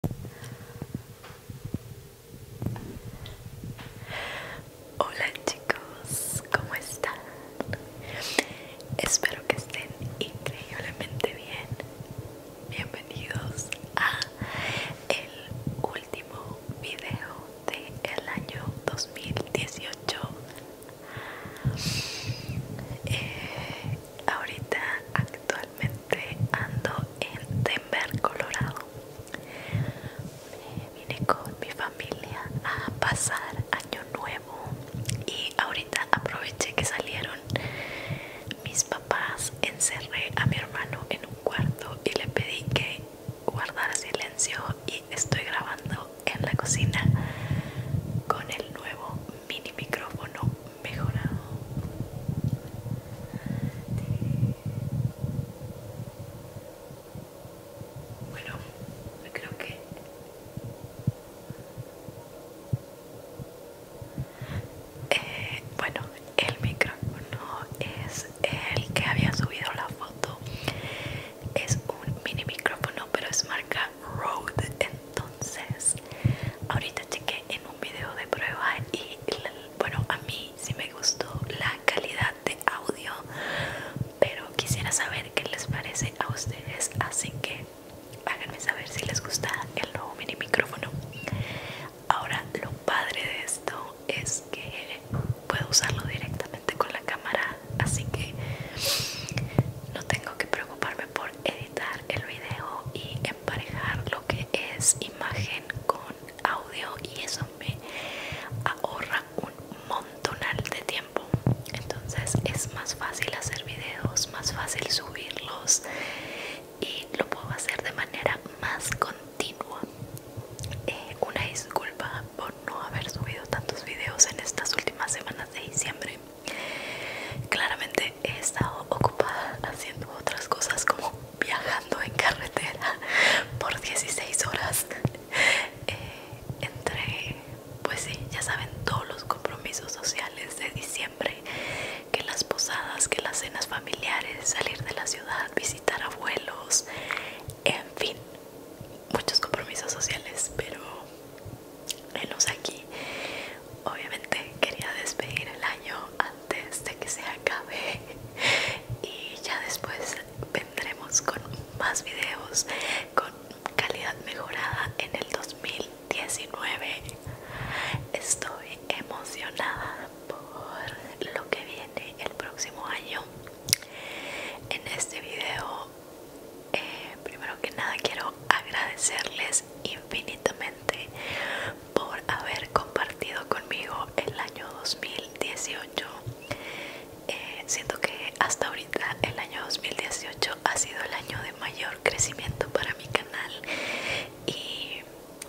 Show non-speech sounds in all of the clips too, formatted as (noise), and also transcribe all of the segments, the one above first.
Hola chicos, ¿cómo están? Espero que estén increíblemente bien. Bienvenidos a el último video del año 2018. Eh, ahorita actualmente este, ando en Denver, Colorado. vine con mi familia a pasar año nuevo y ahorita aproveché que salieron mis papás. Encerré a mi hermano en un cuarto y le pedí que guardara silencio y estoy grabando en la cocina con el nuevo mini micrófono mejorado bueno creo que eh, bueno el micrófono es el que había subido la foto es un mini micrófono pero es marca Rode entonces ahorita chequé en un video de prueba y bueno a mí sí me gustó la calidad de audio pero quisiera saber qué les parece a ustedes así que háganme saber si les gusta el nuevo mini micrófono ahora lo padre de esto es que puedo usarlo directamente con la cámara así que no tengo que preocuparme por editar el video y emparejar lo que es imagen con audio y eso me ahorra un montonal de tiempo entonces es más fácil hacer videos más fácil subirlos y lo puedo hacer de manera más continua eh, una disculpa por no haber subido tantos videos en estas últimas semanas de diciembre claramente he estado ocupada haciendo otras cosas como viajando en carretera por 16 horas eh, entre pues sí ya saben todos los compromisos sociales de diciembre que las posadas que las cenas familiares salir de la ciudad visitar abuelos en fin muchos compromisos sociales pero menos aquí obviamente quería despedir el año antes de que se acabe (laughs) y ya después vendremos con más videos con calidad mejorada en el 2019 estoy emocionada por lo que viene el próximo año en este video eh, primero que nada quiero agradecerles y infinitamente por haber compartido conmigo el año 2018. Eh, siento que hasta ahorita el año 2018 ha sido el año de mayor crecimiento para mi canal y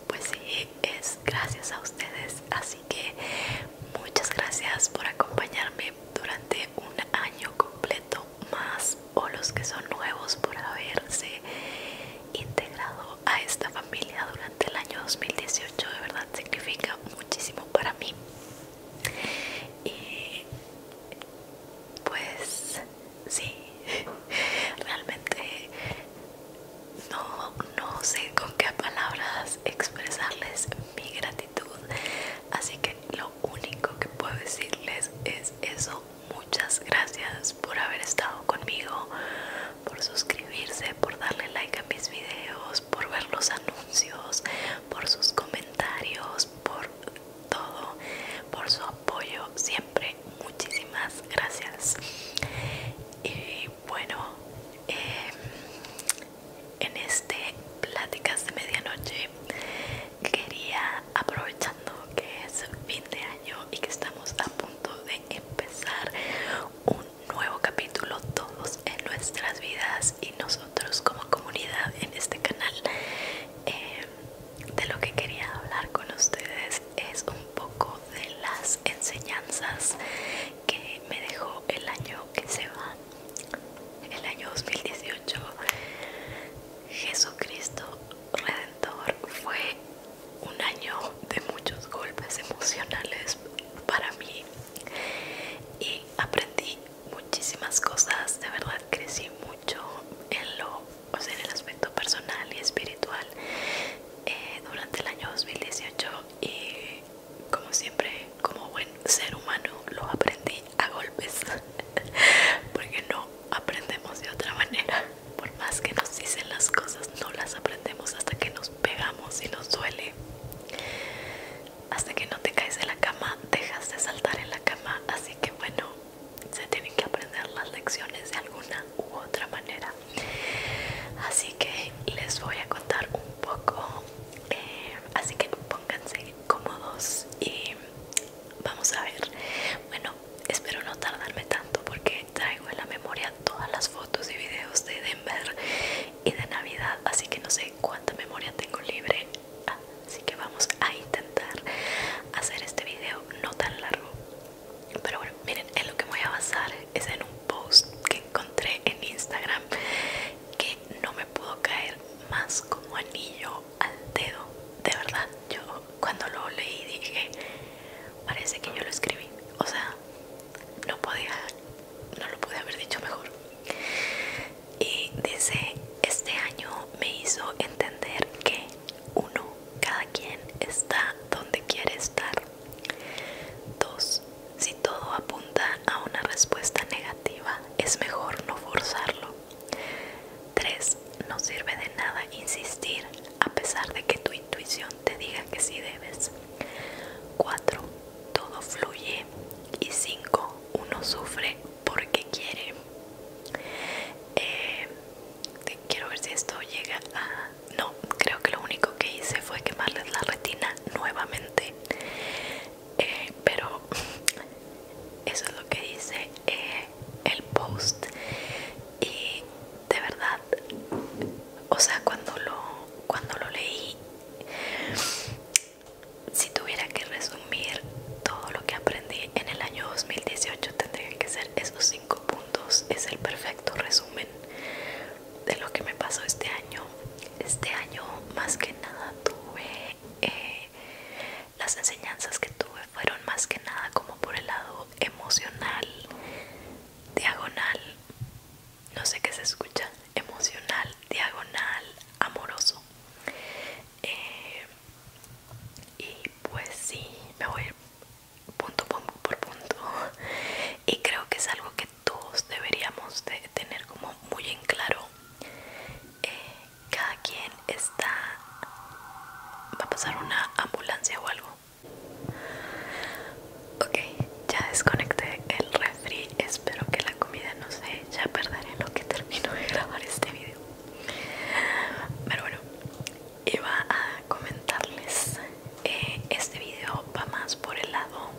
pues sí, es gracias a ustedes. Así que muchas gracias por acompañarme durante un año completo más o los que son nuevos por haberse integrado a esta familia durante el año 2018 de verdad significa muchísimo para mí y pues sí (laughs) realmente no sé con qué palabras expresarles mi gratitud así que lo único que puedo decirles es eso Muchas gracias por haber estado conmigo, por suscribirse, por darle like a mis videos, por ver los anuncios, por sus comentarios, por todo, por su apoyo siempre. Muchísimas gracias. Y bueno, em, en este Pláticas de Medianoche quería aprovechando que es fin de año y que estamos a punto de empezar un nuevo capítulo todos en nuestras vidas y nosotros como comunidad en este canal eh, de lo que quería hablar con ustedes es un poco de las enseñanzas que me dejó el año que se va el año 2018 Jesucristo redentor fue un año de muchos golpes emocionales para mí y aprendí muchísimas cosas de verdad crecí mucho en lo o sea, en el aspecto personal y espiritual eh, durante el año 2018 y como siempre como buen ser humano lo aprendí a golpes (laughs) porque no aprendemos de otra manera. Por más que nos dicen las cosas, no las aprendemos hasta que nos pegamos y nos duele. Hasta que no te caes de la cama, dejas de saltar en la cama. Así que bueno, se tienen que aprender las lecciones de alguna u otra manera. Así que les voy a contar un poco. Eh, así que pónganse cómodos y vamos a ver. Bueno, espero no tardarme tanto porque traigo en la memoria todas las fotos y videos de Denver y de Navidad, así que no sé cuánta memoria tengo libre. Así que vamos a intentar hacer este video no tan largo. Pero bueno, miren, en lo que voy a basar es en un post que encontré en Instagram que no me pudo caer más como anillo al dedo. De verdad, yo cuando lo leí dije, parece que yo lo escribí. O sea, no podía, no lo pude haber dicho mejor. Y dice, este año me hizo entender que uno, cada quien está donde quiere estar. Dos, si todo apunta a una respuesta negativa, es mejor no forzarlo. 3. No sirve de nada insistir a pesar de que tu intuición te diga que sí debes. 4. Todo fluye. Y 5. Uno sufre porque quiere. Eh, quiero ver si esto llega a... No, creo que lo único que hice fue quemarles la retina nuevamente. Eh, pero (laughs) eso es lo que dice eh, el post y de verdad o sea cuando lo cuando lo leí si tuviera que resumir todo lo que aprendí en el año 2018 tendría que ser esos cinco puntos es el perfecto resumen de lo que me pasó este año este año más que nada tuve eh, las enseñanzas que tuve fueron más que nada como por el lado emocional, diagonal, no sé qué se escucha, emocional, diagonal, amoroso. Eh, y pues sí, me voy punto por punto. (laughs) Y creo que es algo que todos deberíamos de tener como muy en claro. Eh, cada quien está va a pasar una ambulancia o algo ok ya desconecté el refri espero que la comida no se ya perderé lo que termino de grabar este video pero bueno iba a comentarles eh, este video va más por el lado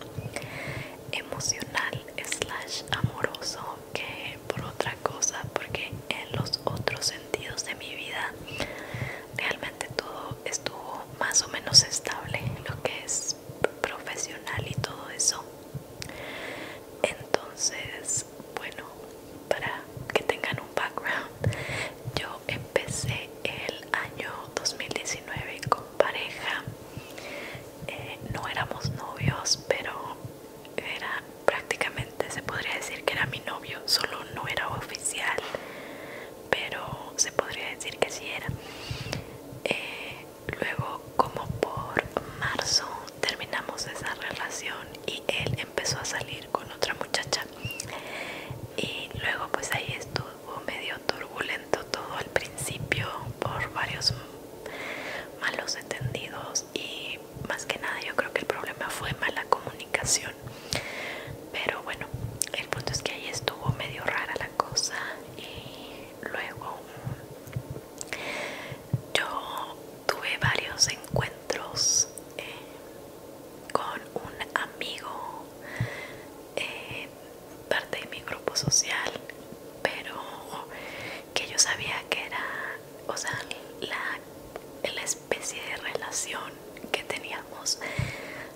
emocional slash amoroso que por otra cosa porque en los otros sentidos de mi vida realmente todo estuvo más o menos estable lo que es profesional y todo eso entonces bueno para que tengan un background yo empecé el año 2019 con pareja eh, no éramos novios pero era prácticamente, se podría decir que era mi novio, solo no era oficial, pero se podría decir que sí era. Eh, luego, como por marzo, terminamos esa relación y él empezó a salir con otra muchacha. Y luego, pues ahí estuvo medio turbulento todo al principio por varios malos entendidos y más que nada yo creo que el problema fue mala comunicación pero bueno el punto es que ahí estuvo medio rara la cosa y luego yo tuve varios encuentros eh, con un amigo eh, parte de mi grupo social pero que yo sabía que era, o sea, la, especie de relación que teníamos,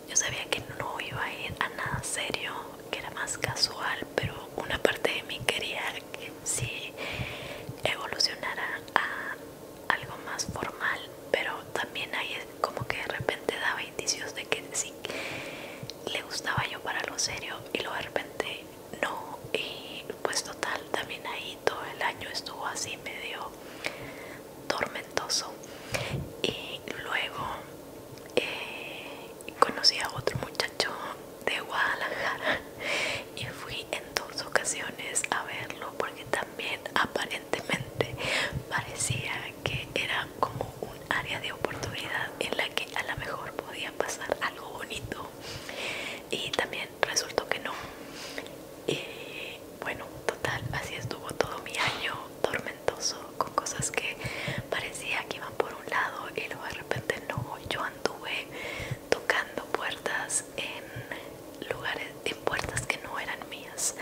yo sabía que no iba a ir a nada serio, que era más casual, pero una parte de mí quería que sí evolucionara a algo más formal, pero también ahí como que de repente daba indicios de que sí le gustaba yo para lo serio y luego de repente no y pues total también ahí todo el año estuvo así medio tormentoso y luego eh, conocí a otro muchacho de Guadalajara y fui en dos ocasiones a verlo porque también aparentemente parecía que era como un área de oportunidad en la que a lo mejor podía pasar algo bonito y también resultó que no y bueno total así estuvo todo mi año tormentoso con cosas que parecía que iban por un lado y luego de repente no yo anduve tocando puertas en lugares en puertas que no eran mías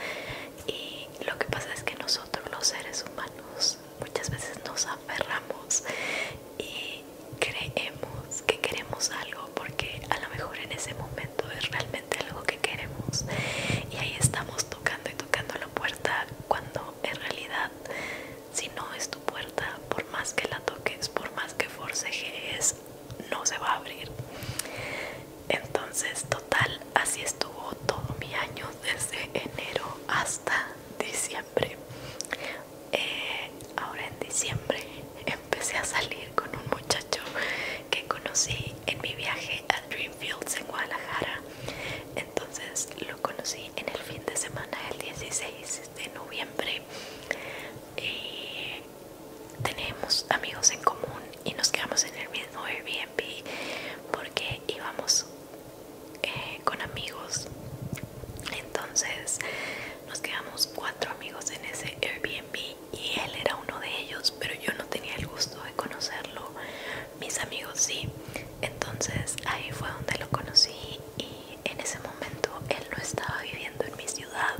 y lo que pasa es que nosotros los seres humanos muchas veces nos aferramos y creemos que queremos algo porque a lo mejor en ese momento es realmente algo que queremos y ahí estamos tocando y tocando la puerta cuando en realidad si no es tu puerta por más que la toques por más que forcejes no se va a abrir entonces total así estuvo todo mi año desde enero hasta diciembre eh, ahora en diciembre empecé a salir con un muchacho que conocí en mi viaje a Dreamfields en Guadalajara. Entonces lo conocí en el fin de semana del 16 de noviembre tenemos amigos en común y nos quedamos en el mismo Airbnb porque íbamos eh, con amigos entonces nos quedamos cuatro amigos en ese Airbnb y él era uno de ellos pero yo no tenía el gusto de conocerlo mis amigos sí entonces ahí fue donde lo conocí y en ese momento él no estaba viviendo en mi ciudad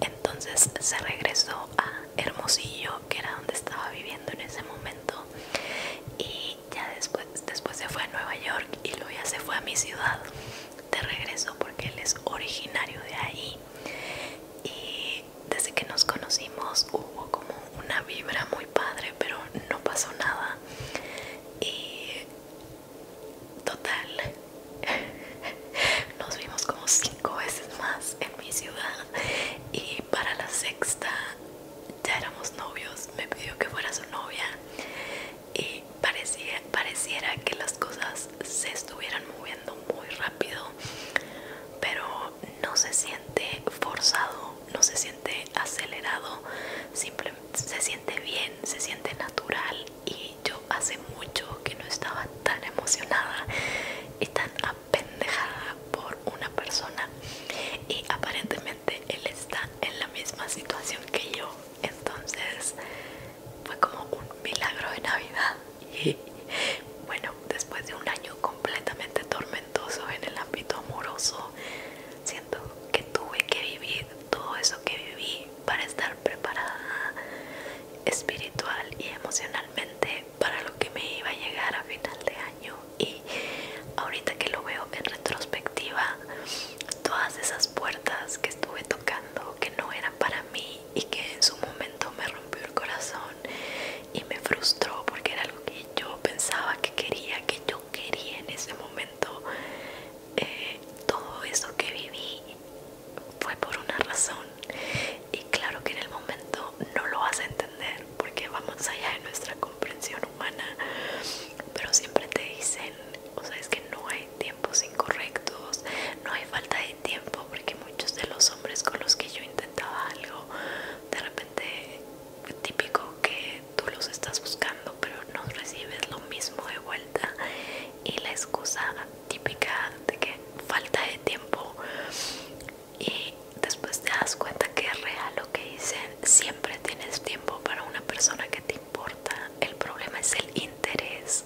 entonces se regresó a Hermosillo que era donde estaba viviendo en ese momento y ya después, después se fue a Nueva York y luego ya se fue a mi ciudad de regreso porque él es originario de ahí y desde que nos conocimos hubo como una vibra muy padre pero no pasó nada y total (laughs) nos vimos como cinco veces más en mi ciudad y para la sexta ya éramos novios, me pidió que fuera su novia y parecía, pareciera que las cosas se estuvieran moviendo muy rápido, pero no se siente forzado, no se siente acelerado, simplemente se siente bien, se siente natural y yo hace mucho que no estaba tan emocionada y tan apendejada por una persona y aparentemente él está en la misma situación que yo. Entonces fue como un milagro de Navidad. Y bueno, después de un año completamente tormentoso en el ámbito amoroso, siento que tuve que vivir todo eso que viví para estar preparada espiritual y emocionalmente para lo que me iba a llegar a final de año y ahorita que lo veo en retrospectiva todas esas puertas que estuve tocando que no eran para mí y que en su momento me rompió el corazón y me frustró porque era algo que yo pensaba que quería que yo quería en ese momento eh, todo eso que viví fue por una razón y claro que en el momento no lo vas a entender porque vamos allá de nuestra comprensión humana, pero siempre te dicen, o sea, es que no hay tiempos incorrectos, no hay falta de tiempo, porque muchos de los hombres con los que yo intentaba algo, de repente típico que tú los estás buscando, pero no recibes lo mismo de vuelta y la excusa típica de que falta de tiempo y después te das cuenta que es real lo que dicen siempre tienes tiempo tiempo para una persona que te importa. El problema es el interés.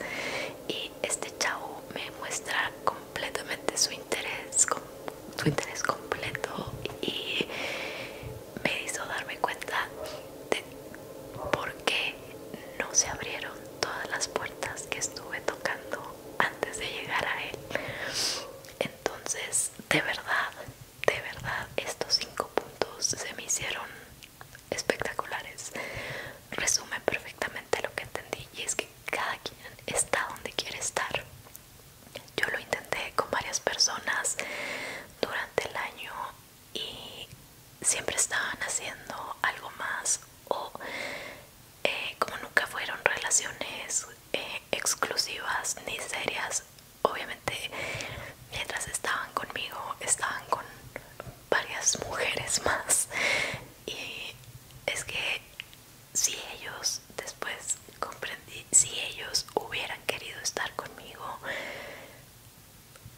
Y este chavo me muestra completamente su interés, su interés completo y me hizo darme cuenta de por qué no se abrieron todas las puertas que estuve tocando antes de llegar a él. Entonces, de verdad, de verdad estos cinco puntos se me hicieron espectaculares. Resumen perfectamente lo que entendí y es que cada quien está donde quiere estar. Yo lo intenté con varias personas durante el año y siempre estaban haciendo algo más o eh, como nunca fueron relaciones eh, exclusivas ni serias obviamente mientras estaban conmigo estaban con varias mujeres (laughs) más y es que si ellos después comprendí si ellos hubieran querido estar conmigo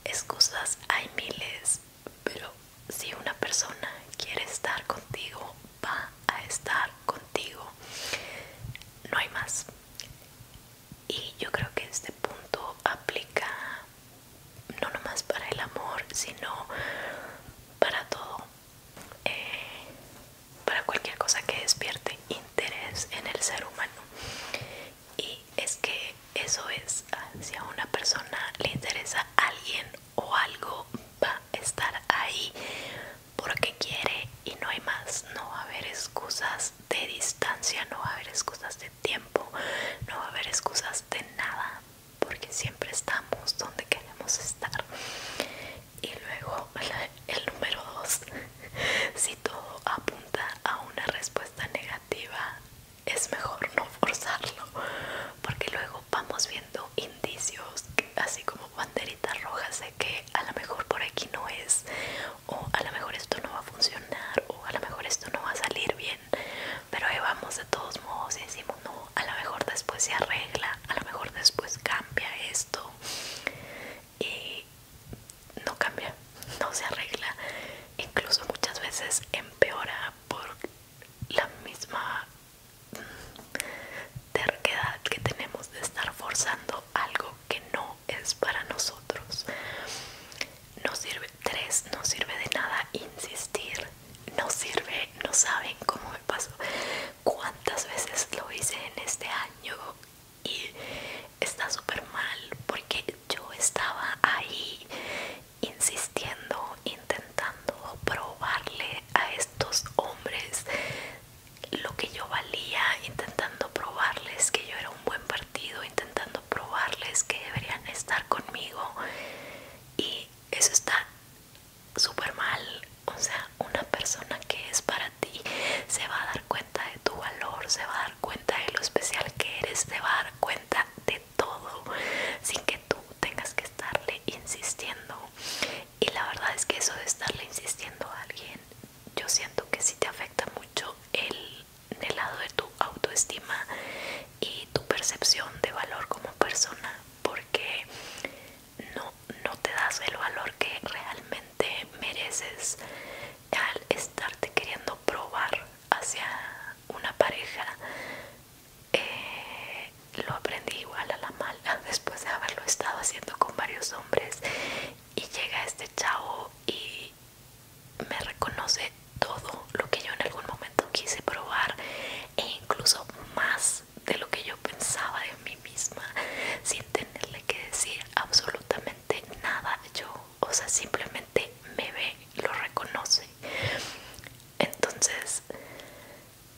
excusas hay miles pero si una persona quiere estar contigo va a estar contigo no hay más y yo creo que este punto aplica no nomás para el amor, sino para todo, eh, para cualquier cosa que despierte interés en el ser humano. Y es que eso es, si a una persona le interesa alguien o algo, va a estar ahí porque quiere y no hay más, no va a haber excusas de distancia, no va a haber excusas de tiempo, no va a haber excusas de nada, porque siempre estamos donde queremos estar. Y luego (laughs) el número dos, (laughs) si todo apunta a una respuesta negativa, es mejor no forzarlo, porque luego vamos viendo indicios, así como banderitas rojas de que a lo mejor por aquí no es o a lo mejor esto no va a funcionar o a lo mejor esto no va a salir bien pero ahí vamos de todos modos y decimos no, a lo mejor después se arregla, a lo mejor después cambia esto y no cambia, no se arregla, incluso muchas veces empeora por la misma terquedad que tenemos de estar forzando algo que no es para nosotros. No sirve, tres, no sirve de nada insistir, no sirve, no saben cómo me pasó, cuántas veces lo hice en este año y está súper mal porque yo estaba ahí insistiendo, intentando probarle a estos hombres lo que yo valía intentando probarles que yo era un buen partido, intentando probarles que deberían estar conmigo y eso está súper mal. O sea, una persona que es para ti se va a dar cuenta de tu valor, se va a dar cuenta de lo especial que eres, se va a dar cuenta de todo sin que tú tengas que estarle insistiendo y la verdad es que eso de estarle insistiendo a alguien yo siento que sí te afecta mucho el, el lado de tu autoestima y tu percepción de valor como persona porque no, te das el valor que realmente mereces al estarte queriendo probar hacia una pareja eh, lo aprendí igual a la mala (laughs) después de haberlo estado haciendo con varios hombres y llega este chavo y me reconoce todo lo que yo en algún momento quise probar e incluso más de lo que yo pensaba de mí misma sin tenerle que decir absolutamente nada yo o sea simplemente me ve y lo reconoce entonces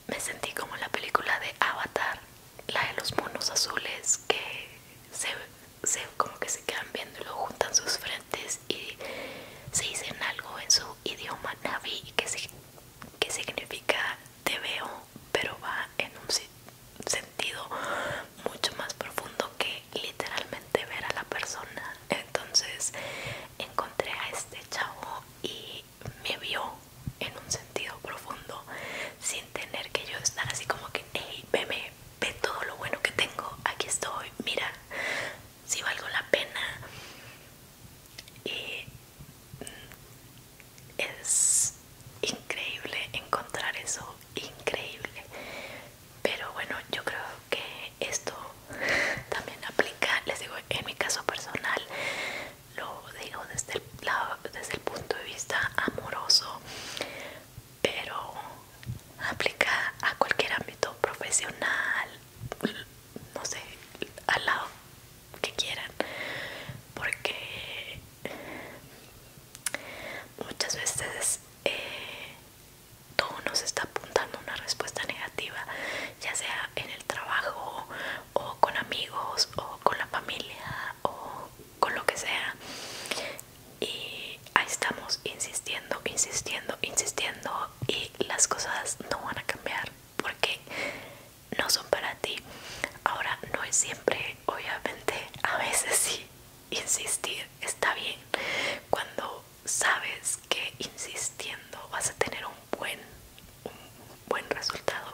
me sentí como en la película de Avatar, la de los monos azules que se, como que se quedan viendo y luego juntan sus frentes y se dicen algo en su idioma navi que, que significa te veo, pero va en un sentido mucho más profundo que literalmente ver a la persona. Entonces encontré a este chavo y me vio en un sentido profundo sin tener que yo estar así como que, hey, ve todo lo bueno que tengo, aquí estoy, mira, si valgo la pena. Y mm, es increíble encontrar eso, increíble. Pero bueno, yo creo que esto también aplica, les digo, en mi caso personal lo digo desde el, desde el punto de vista amoroso, pero aplica a cualquier ámbito profesional, no sé, al lado que quieran, porque muchas veces eh, todo nos está apuntando una respuesta negativa, ya sea en el trabajo o con amigos o con la familia o con lo que sea y ahí estamos insistiendo, insistiendo, insistiendo y las cosas no van a cambiar porque no son para ti. Ahora no es siempre, obviamente, (laughs) a veces sí, insistir está bien cuando sabes que insistiendo vas a tener un buen, buen resultado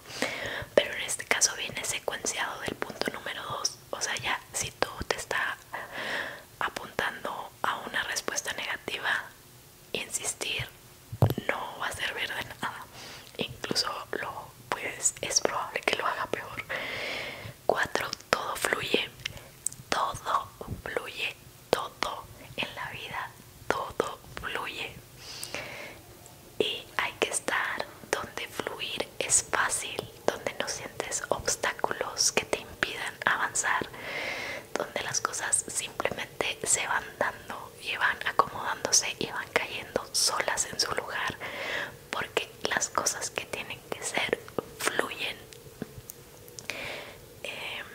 pero en este caso viene secuenciado del punto número 2 o sea ya si tú te está apuntando a una respuesta negativa insistir no va a servir de nada incluso lo pues, es probable que lo haga peor 4 todo fluye todo fluye todo en la vida todo fluye y hay que estar donde fluir es fácil, donde no sientes obstáculos que te impidan avanzar, donde las cosas simplemente se van dando y van acomodándose y van cayendo solas en su lugar, porque las cosas que tienen que ser fluyen. Em,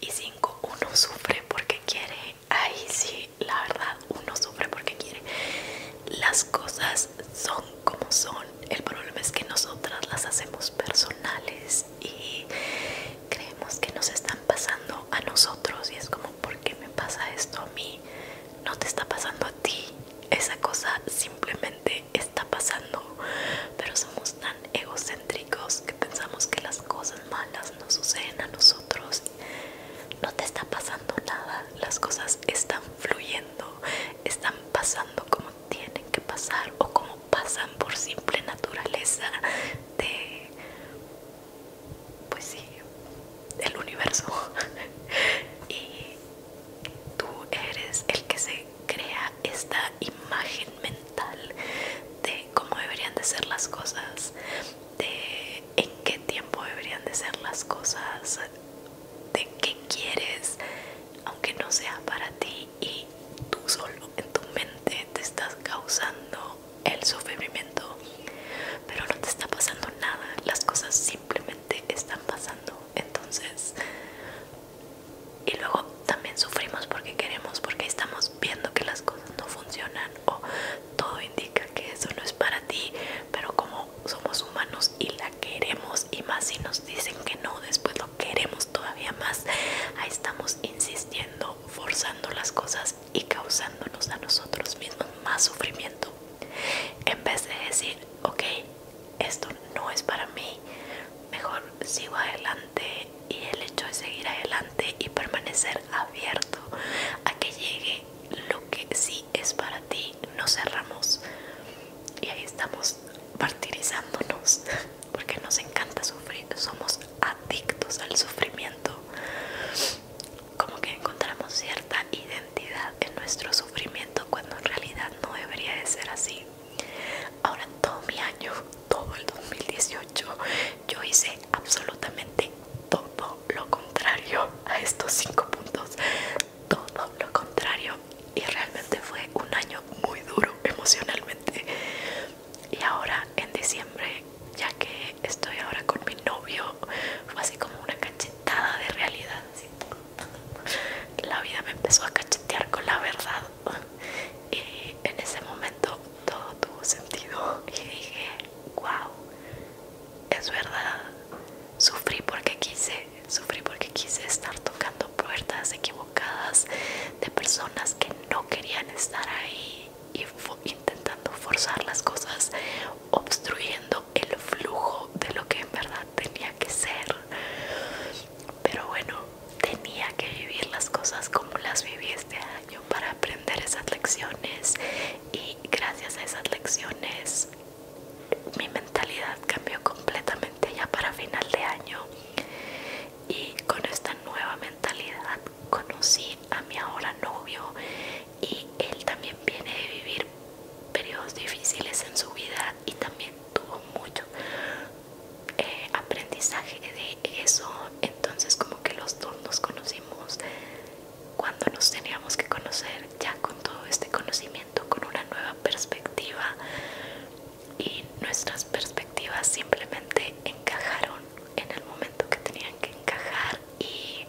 y cinco, uno sufre porque quiere ahí sí la verdad uno sufre porque quiere las cosas son como son el problema es que nosotras las hacemos personales y creemos que nos están pasando a nosotros y es como ¿por qué me pasa esto a mí? no te está pasando a ti esa cosa simplemente está pasando pero somos tan egocéntricos que pensamos que las cosas malas nos suceden a nosotros no te está pasando nada, las cosas están fluyendo, están pasando como tienen que pasar o como pasan por simple naturaleza de pues sí del universo (laughs) y tú eres el que se crea esta imagen mental de cómo deberían de ser las cosas de en qué tiempo deberían de ser las cosas, de qué quieres, aunque no sea para ti y tú solo en tu mente te estás causando el sufrimiento, pero no te está pasando nada, las cosas simplemente están pasando, entonces y luego también sufrimos porque queremos, porque estamos viendo que las cosas no funcionan o todo indica que eso no es para ti pero como somos humanos y la queremos y más si nos dicen que no después lo queremos todavía más ahí estamos insistiendo forzando las cosas y causándonos a nosotros mismos más sufrimiento en vez de decir ok esto no es para mí mejor sigo adelante y el hecho de seguir adelante y permanecer abierto a que llegue lo que sí es para ti, Nos cerramos y ahí estamos martirizándonos (laughs) porque nos encanta sufrir, somos adictos al sufrimiento, como que encontramos cierta identidad en nuestro sufrimiento cuando en realidad no debería de ser así. Ahora todo mi año todo el 2018 yo hice absolutamente todo lo contrario a estos cinco puntos todo lo contrario y realmente fue un año muy duro emocionalmente y ahora en diciembre ya que estoy ahora con mi novio fue así como una cachetada de realidad la vida me empezó a cachetear con la verdad y en ese momento todo tuvo sentido y dije, wow, es verdad, sufrí porque quise, sufrí porque quise estar tocando puertas equivocadas de personas que no querían estar ahí y intentando forzar las cosas, obstruyendo el flujo de lo que en verdad tenía que ser. Pero bueno, tenía que vivir las cosas como las viviste este para aprender esas lecciones y gracias a esas lecciones mi mentalidad cambió completamente ya para final de año y con esta nueva mentalidad conocí a mi ahora novio y él también viene de vivir periodos difíciles en su vida y también tuvo mucho eh, aprendizaje de eso entonces como que los dos nos conocimos cuando nos teníamos que conocer ya con todo este conocimiento con una nueva perspectiva y nuestras perspectivas simplemente encajaron en el momento que tenían que encajar y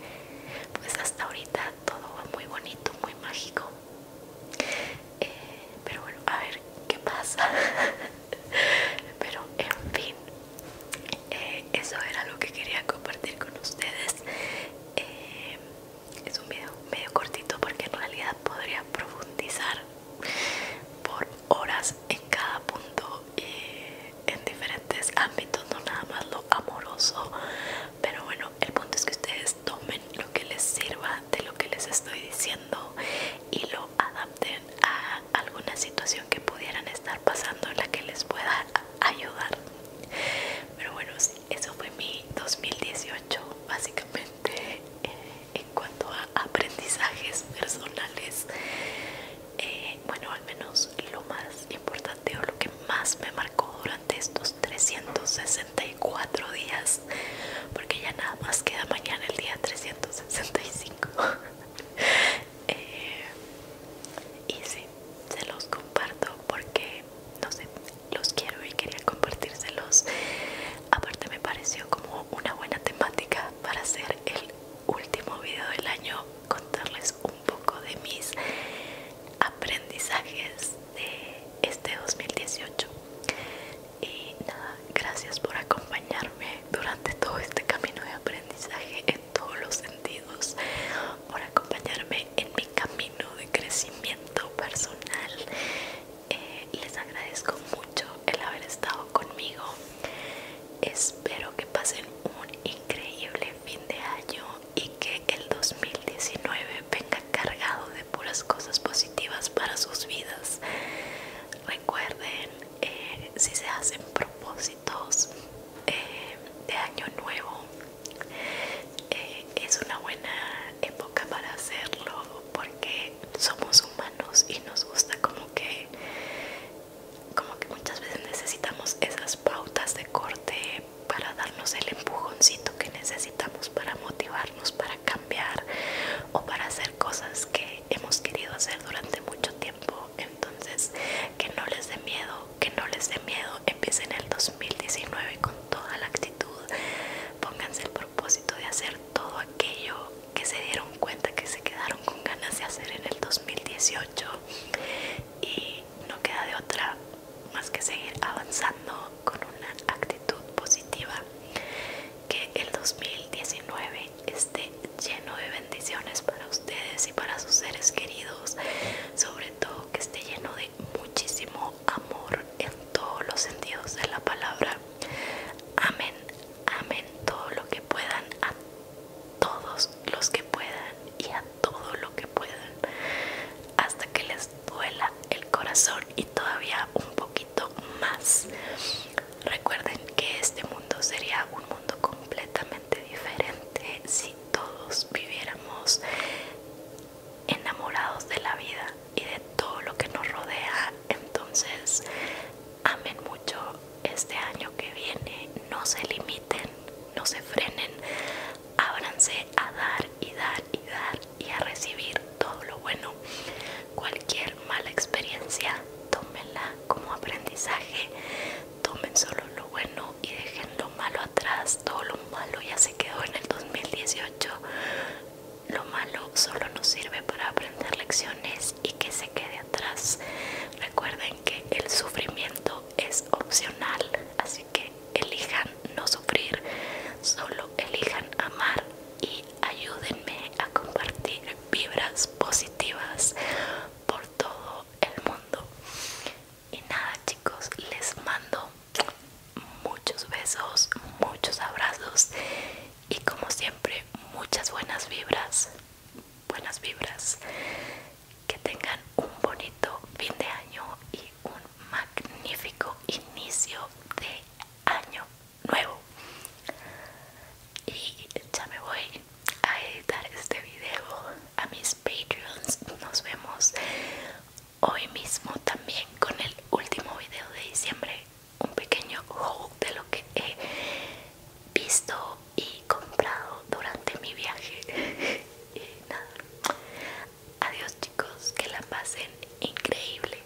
pues hasta ahorita todo va muy bonito muy mágico eh, pero bueno a ver qué pasa (laughs) (laughs) pero en fin eh, eso era lo que quería compartir con ustedes eh, es un video medio cortito porque en realidad podría profundizar por horas en cada punto en diferentes ámbitos no nada más lo amoroso pero bueno el punto es que ustedes tomen lo que les sirva de lo que les estoy diciendo y lo adapten a alguna situación que pudieran estar pasando en la que les pueda ayudar. Pero bueno, eso fue mi 2018 básicamente eh, en cuanto a aprendizajes personales. Eh, bueno, al menos lo más importante o lo que más me marcó durante estos 364 días, porque ya nada más queda mañana el día 365. (laughs) (laughs) Eh, y sí, se los comparto porque no sé, los quiero y quería compartírselos. Aparte me pareció como una buena temática para hacer el último video del año, contarles un poco de mis aprendizajes de este 2018 y nada, gracias por acompañarme durante todo este camino de aprendizaje en todos los sentidos, por acompañarme en mi camino de crecimiento personal. Eh, les agradezco mucho el haber estado conmigo. Espero que pasen un increíble fin de año y que el 2019 venga cargado de puras cosas positivas para sus vidas. Recuerden eh, si se hacen propósitos eh, de año nuevo eh, es una buena época para hacerlo porque somos humanos y nos gusta como que como que muchas veces necesitamos esas pautas de corte para darnos el empujoncito que necesitamos para motivarnos para cambiar o para hacer cosas que hemos querido hacer durante mucho tiempo. Entonces, que no les dé miedo, que no les dé miedo. Empiecen el 2019 con toda la actitud. Pónganse el propósito de hacer todo aquello que se dieron cuenta que se quedaron con ganas de hacer en el 2018 y no queda de otra más que seguir avanzando con una actitud positiva que el 2019 esté lleno de bendiciones para ustedes y para sus seres queridos, sobre todo que esté lleno de muchísimo amor en todos los sentidos de la palabra. Amén, amén todo lo que puedan, a todos los que puedan y a todo lo que puedan, hasta que les duela el corazón y todavía un poquito más. Recuerden que este mundo sería un mundo completamente diferente si todos viviéramos enamorados de la vida y de todo lo que nos rodea. Entonces, amen mucho este año que viene, no se limiten, no se frenen, ábranse a dar y dar y dar y a recibir todo lo bueno. Cualquier mala experiencia, tómenla como aprendizaje. Tomen solo lo bueno y dejen lo malo atrás. Todo lo malo ya se quedó en el 2018. Lo malo solo nos sirve para aprender lecciones y que se quede atrás. Recuerden que el sufrimiento es opcional, así que elijan no sufrir, solo elijan amar y ayúdenme a compartir vibras positivas por todo el mundo. Y nada chicos, les mando muchos besos, muchos abrazos y como siempre muchas buenas vibras, buenas vibras. Que tengan un bonito fin de año y un magnífico inicio de año nuevo y ya me voy a editar este video a mis patreons nos vemos hoy mismo también con el último video de diciembre un pequeño haul de lo que he visto y comprado durante mi viaje (laughs) y nada adiós chicos que la pasen increíble